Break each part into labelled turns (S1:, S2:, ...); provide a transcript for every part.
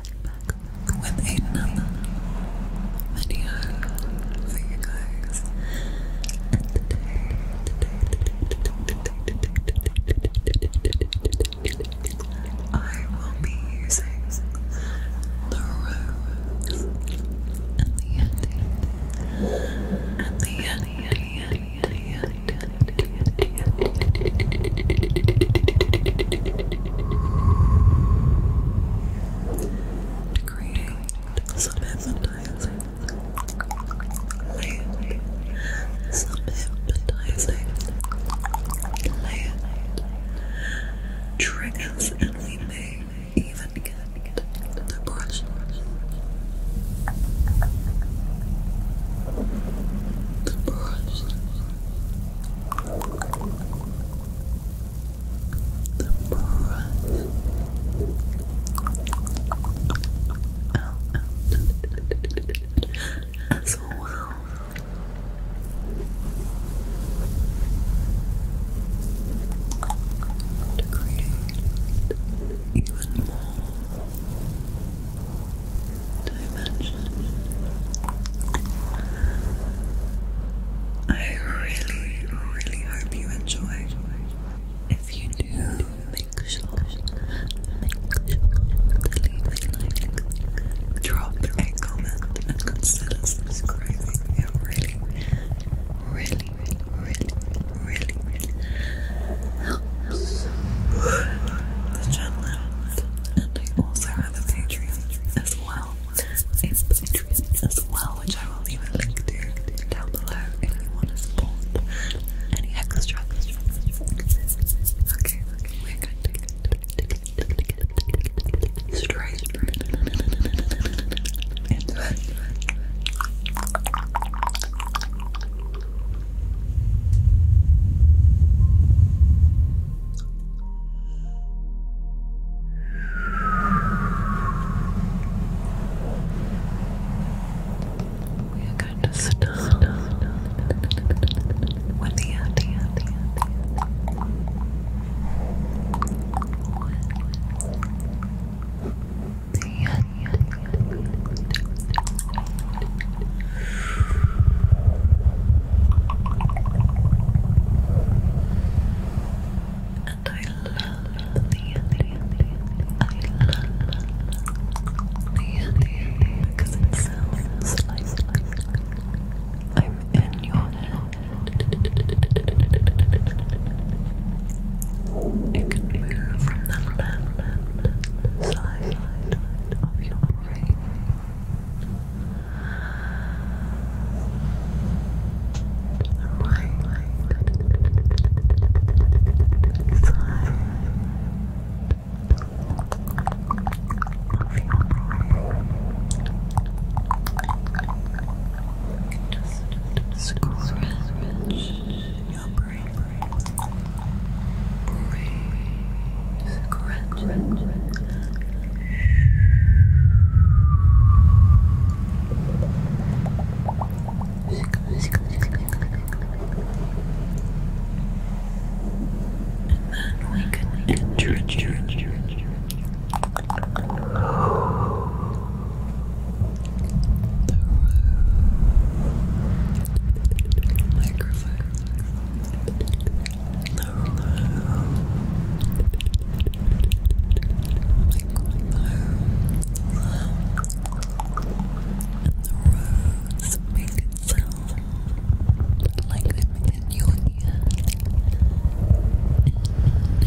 S1: with another video for you guys. And today, today, today, today, today, today, I will be using the rose and the yeti and the yeti, yeti, yeti, yeti, yeti, to create land, some land triggers, and we may even get the brush the brush, the brush, as well. To even more dimension. I really, really hope you enjoyed. If you do, make sure, to leave a like, drop a comment, consider subscribing. It really, really, really, really, really helps the channel And I also have a Patreon as well. A Patreon as well, which I will leave a link to down below if you want to support any extra. Okay, okay, we are going to start the idea, the idea, the idea. And I love the ending because it sounds like I'm in your head. It can move from the left side island of your brain. Right side of your brain. Just scratch your brain, breathe, scratch and then we can introduce the Microphone. And the rose makes it sound like I'm in your hand. And I know it.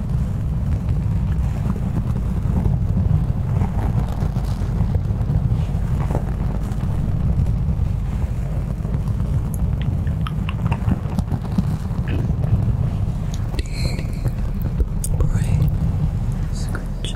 S1: Deep brain scratch.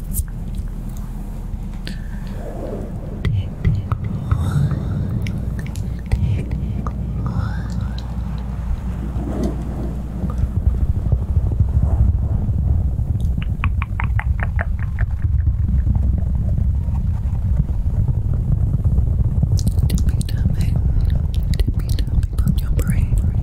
S1: Tippy tapping, tippy tapping on your brain.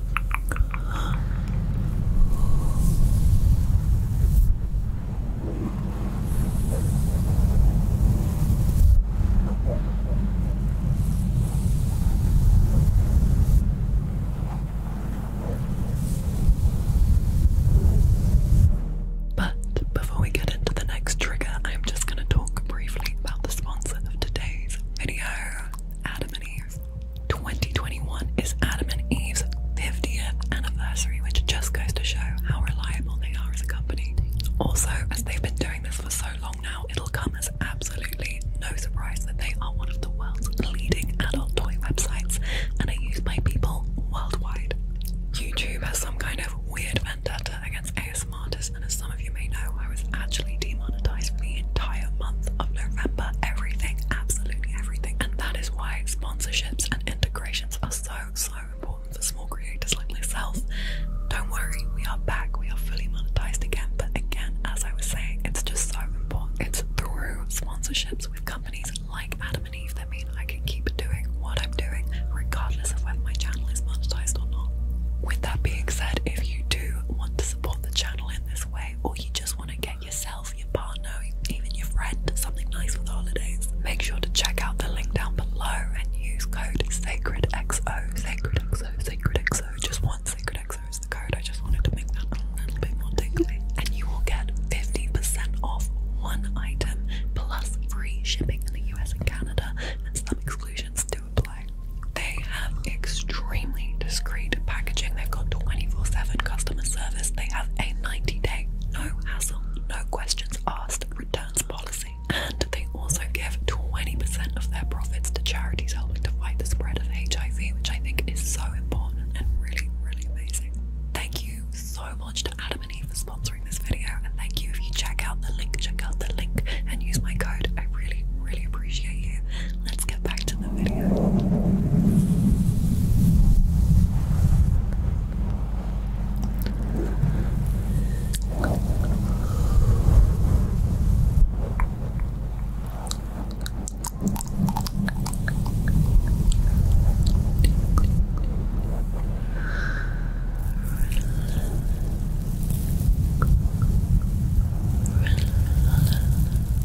S1: But before we get into the next trigger, I'm just going to talk briefly about the sponsor of today's video, Adam and Eve. 2021 is Adam and Eve's 50th anniversary, which just goes to show how reliable they are as a company. Also, as they've been doing this for so long now, it'll come as absolutely no surprise that they are one of the world's leading adult toy websites and are used by people worldwide. YouTube has some kind of weird vendetta against ASMR and as some of you may know, I was actually demonetized for the entire month of November. Everything, absolutely everything and that is why sponsorships and integrations are so so important for small creators like myself. Don't worry, we are back, we are fully monetized again. But again, as I was saying, it's just so important. It's through sponsorships with companies like Adam and Eve that mean I can keep doing what I'm doing, regardless of whether my channel is monetized or not. With that being said, if you do want to support the channel in this way, or you just want to get yourself, your partner, even your friend something nice for the holidays. Make sure to check out the link down below and use code SacredXO, SacredXO, SacredXO, just one SacredXO is the code. I just wanted to make that a little bit more tingly. And you will get 50% off one item plus free shipping in the US and Canada and some exclusions do apply. They have extremely discreet packaging. They've got 24 7 customer service. They have a 90 day no hassle, no questions asked returns policy. And they also give 20% of their profits to charities helping to fight the spread of HIV, which I think is so important and really, really amazing. Thank you so much to Adam and Eve for sponsoring this video. And thank you if you check out the link, check out the link and use my code. I really, really appreciate you. Let's get back to the video.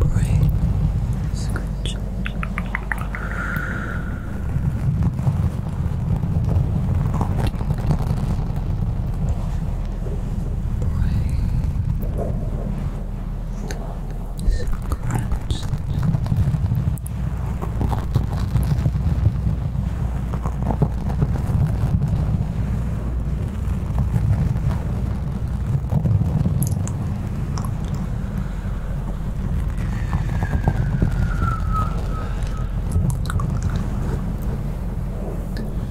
S1: brain scratch. Praise gratitude.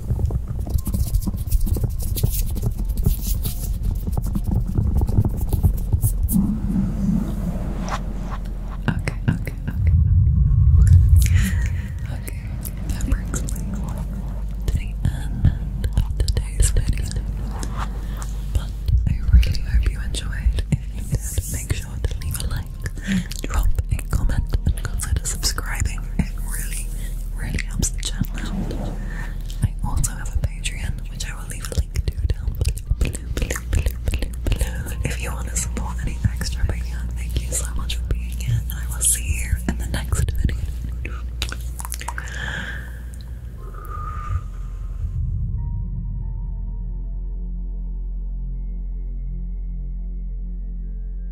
S1: Okay, okay, okay. Okay, that brings me to the end of today's video. But I really hope you enjoyed. If you did, make sure to leave a like drop a comment, and consider subscribing. It really, really helps the channel out. I also have a Patreon, which I will leave a link to down below, If you want to support any extra video, thank you so much for being here, and I will see you in the next video.